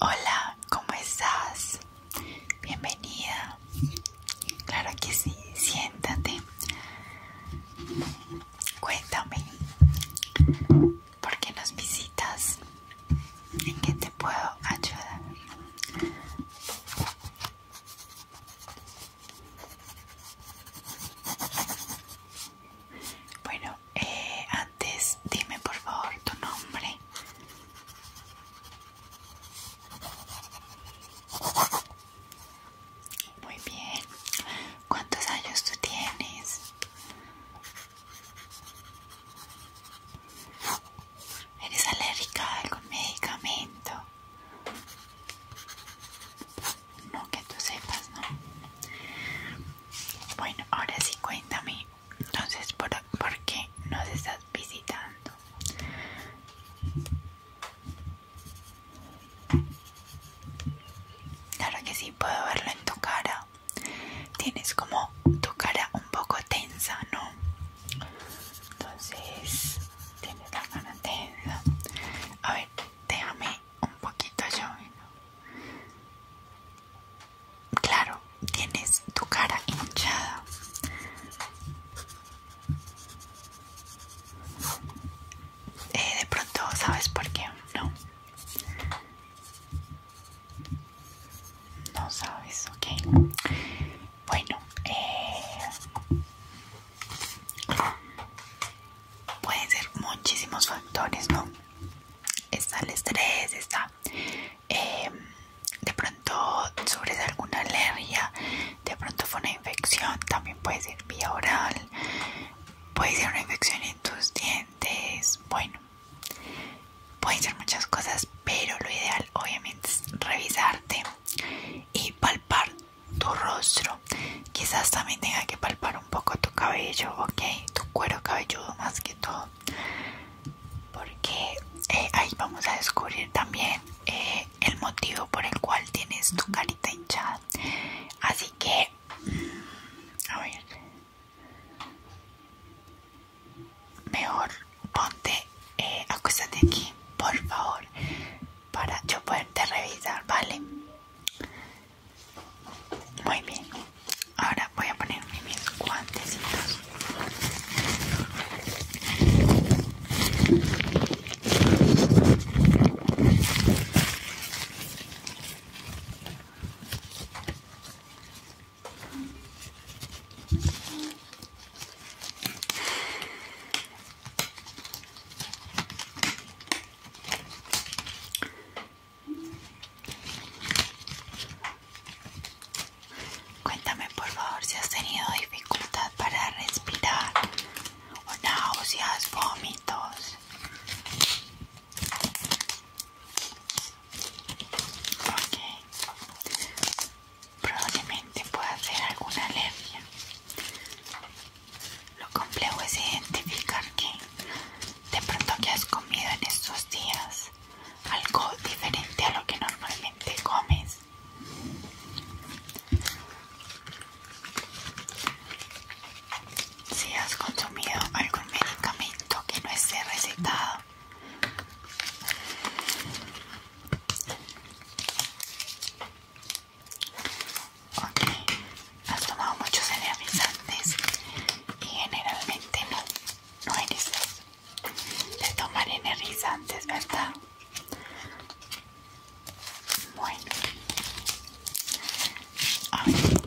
Hola, ¿cómo estás? Bienvenida. Claro que sí, siéntate. Cuéntame, ¿por qué nos visitas? ¿En qué te puedo ayudar? Bueno, eh, antes dime por favor tu nombre. Muy bien. ¿Cuántos años tú tienes? ¿Eres alérgica a algún medicamento? no que tú sepas, ¿no? Bueno, ahora sí cuéntame, entonces, ¿por, ¿por qué nos estás visitando? Claro que sí, puedo verlo en tu cara. Tienes como tu cara un poco tensa, ¿no? Entonces, tienes la cara tensa. A ver, déjame un poquito yo. Claro, tienes tu cara hinchada. Eh, de pronto, ¿sabes por qué? No. No sabes, ok. Bueno, eh pueden ser muchísimos factores, ¿no? Está el estrés, está em, de pronto sufres alguna alergia, de pronto fue una infección, también puede ser vía oral, puede ser una infección en tus dientes, bueno, pueden ser muchas cosas, pero lo ideal obviamente es revisarte y palpar tu rostro. Quizás también tenga que palpar un poco tu cabello, ok, tu cuero cabelludo más que todo. Porque eh, ahí vamos a descubrir también eh, el motivo por el cual tienes tu carita hinchada. Así que, mm, a ver, mejor ponte, eh, acuéstate aquí, por favor, para yo poderte revisar, ¿vale? Muy bien. Ahora voy a poner mis guantecitos. Cuéntame por favor si has tenido dificultad para respirar o náuseas, vómitos. Ok, probablemente pueda ser alguna alergia. Lo complejo es identificar que de pronto que has comido en estos días algo diferente a lo que normalmente comes. Si has consumido algún medicamento que no esté recetado. Ok, has tomado muchos energizantes y generalmente no, no eres de tomar energizantes, ¿verdad? Bueno, a ver.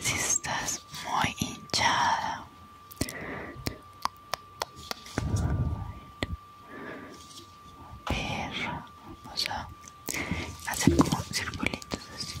Si estás muy hinchada. Perra, O sea hacer como circulitos así.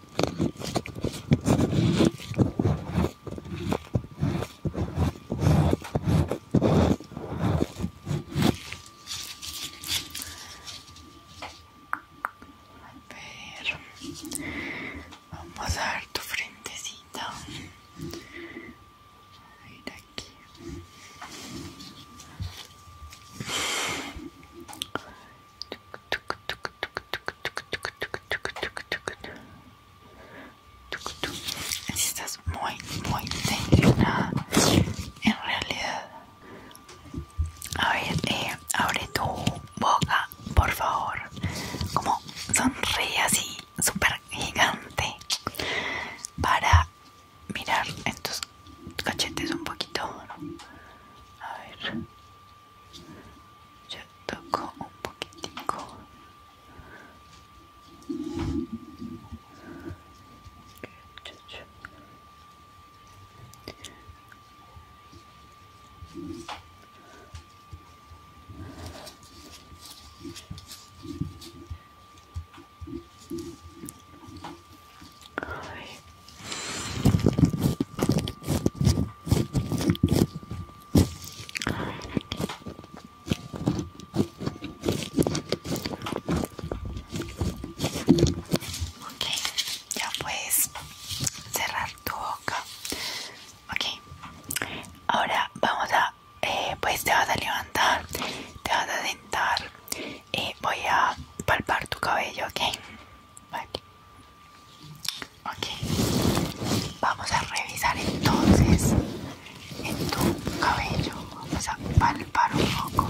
A ver, vamos a ver tu frentecita. aquí. Así estás muy, muy tensionada, en realidad. A ver, eh, abre tu boca, por favor. Como sonríe así, súper gigante, para mirar en tus cachetes un poquito. A ver. ちょっとこうポケていこうちょちょはい Ok, ya puedes cerrar tu boca. Ok, ahora vamos a, eh, pues te vas a levantar, te vas a sentar y eh, voy a palpar tu cabello, ok. Ok, vamos a revisar entonces en tu cabello. Vamos a palpar un poco.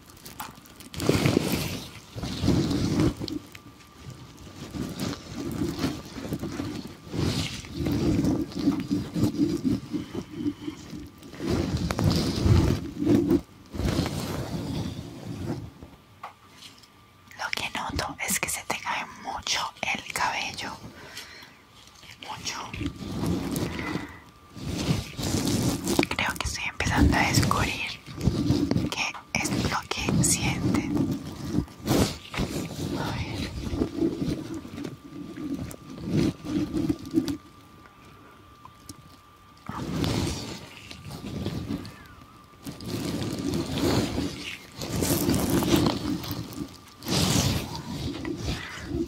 Lo que noto es que se te cae mucho el cabello, mucho. Creo que estoy empezando a descubrir qué es lo que sienten.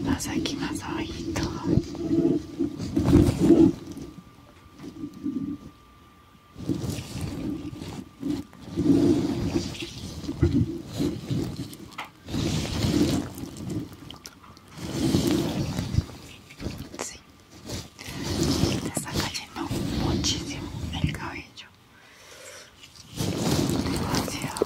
Más aquí, más abajito. Sí, te está cayendo muchísimo el cabello. Demasiado.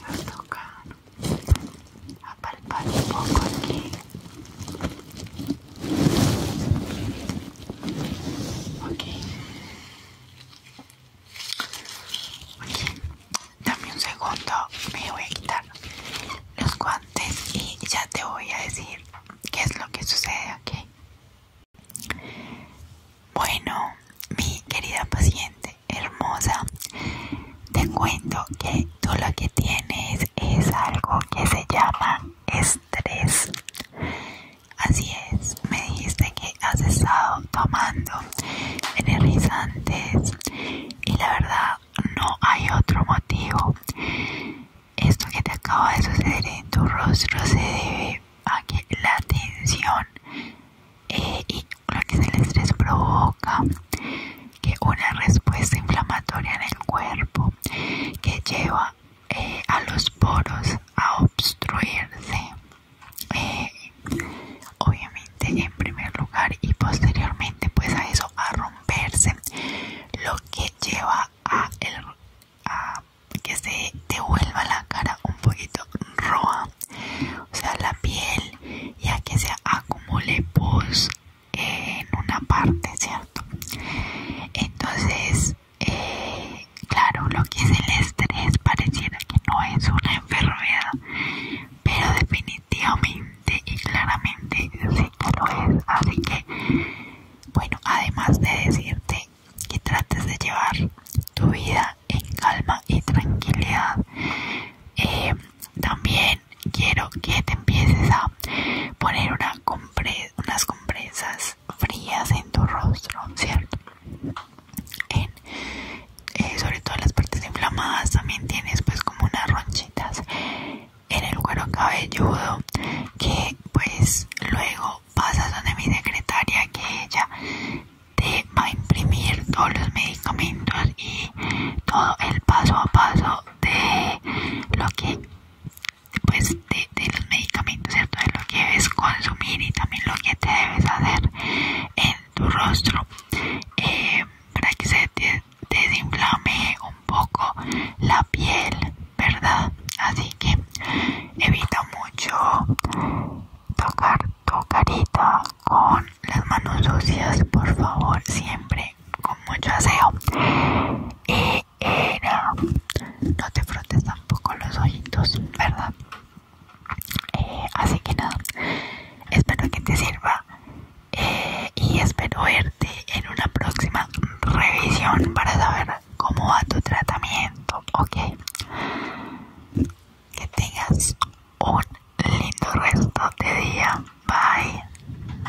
Vou tá tocar, apertar um pouco aqui. Ok. dame un segundo. Me voy a quitar los guantes y ya te voy a decir qué es lo que sucede, aquí. Bueno, mi querida paciente hermosa, te cuento que todo lo que tienes es algo que se llama tres, Así es, me dijiste que has estado tomando energizantes y la verdad no hay otro motivo. Esto que te acaba de suceder en tu rostro se debe a que la tensión eh, y lo que es el estrés provoca que una respuesta inflamatoria en el cuerpo que lleva eh, a los poros a obstruirse eh, obviamente en primer lugar y posteriormente pues a eso a romperse lo que lleva a, el, a que se devuelva la cara un poquito roja o sea la piel ya que se acumule pus en una parte cierto entonces eh, claro, lo que es el estrés pareciera que no es una enfermedad, pero definitivamente y claramente sí que lo es. Así que, bueno, además de decirte que trates de llevar tu vida en calma y tranquilidad, eh, también quiero que te empieces a poner una unas compresas frías en tu rostro, ¿cierto? Eh, sobre todo las partes inflamadas también tienes pues como unas ronchitas en el cuero cabelludo que pues luego pasas donde mi secretaria que ella te va a imprimir todos los medicamentos y todo el paso a paso de lo que pues, Después de, los medicamentos, ¿cierto? De lo que debes consumir y también lo que te debes hacer en tu rostro eh, para que se desinflame un poco la piel, ¿verdad? Así que evita mucho tocar tu carita con las manos sucias, por favor, siempre con mucho aseo. Eh, no. te frotes tampoco los ojitos, ¿verdad? Eh, así que nada, espero que te sirva eh, y espero verte en una próxima revisión para saber cómo va tu tratamiento, ¿ok? Que tengas un lindo resto de día, bye.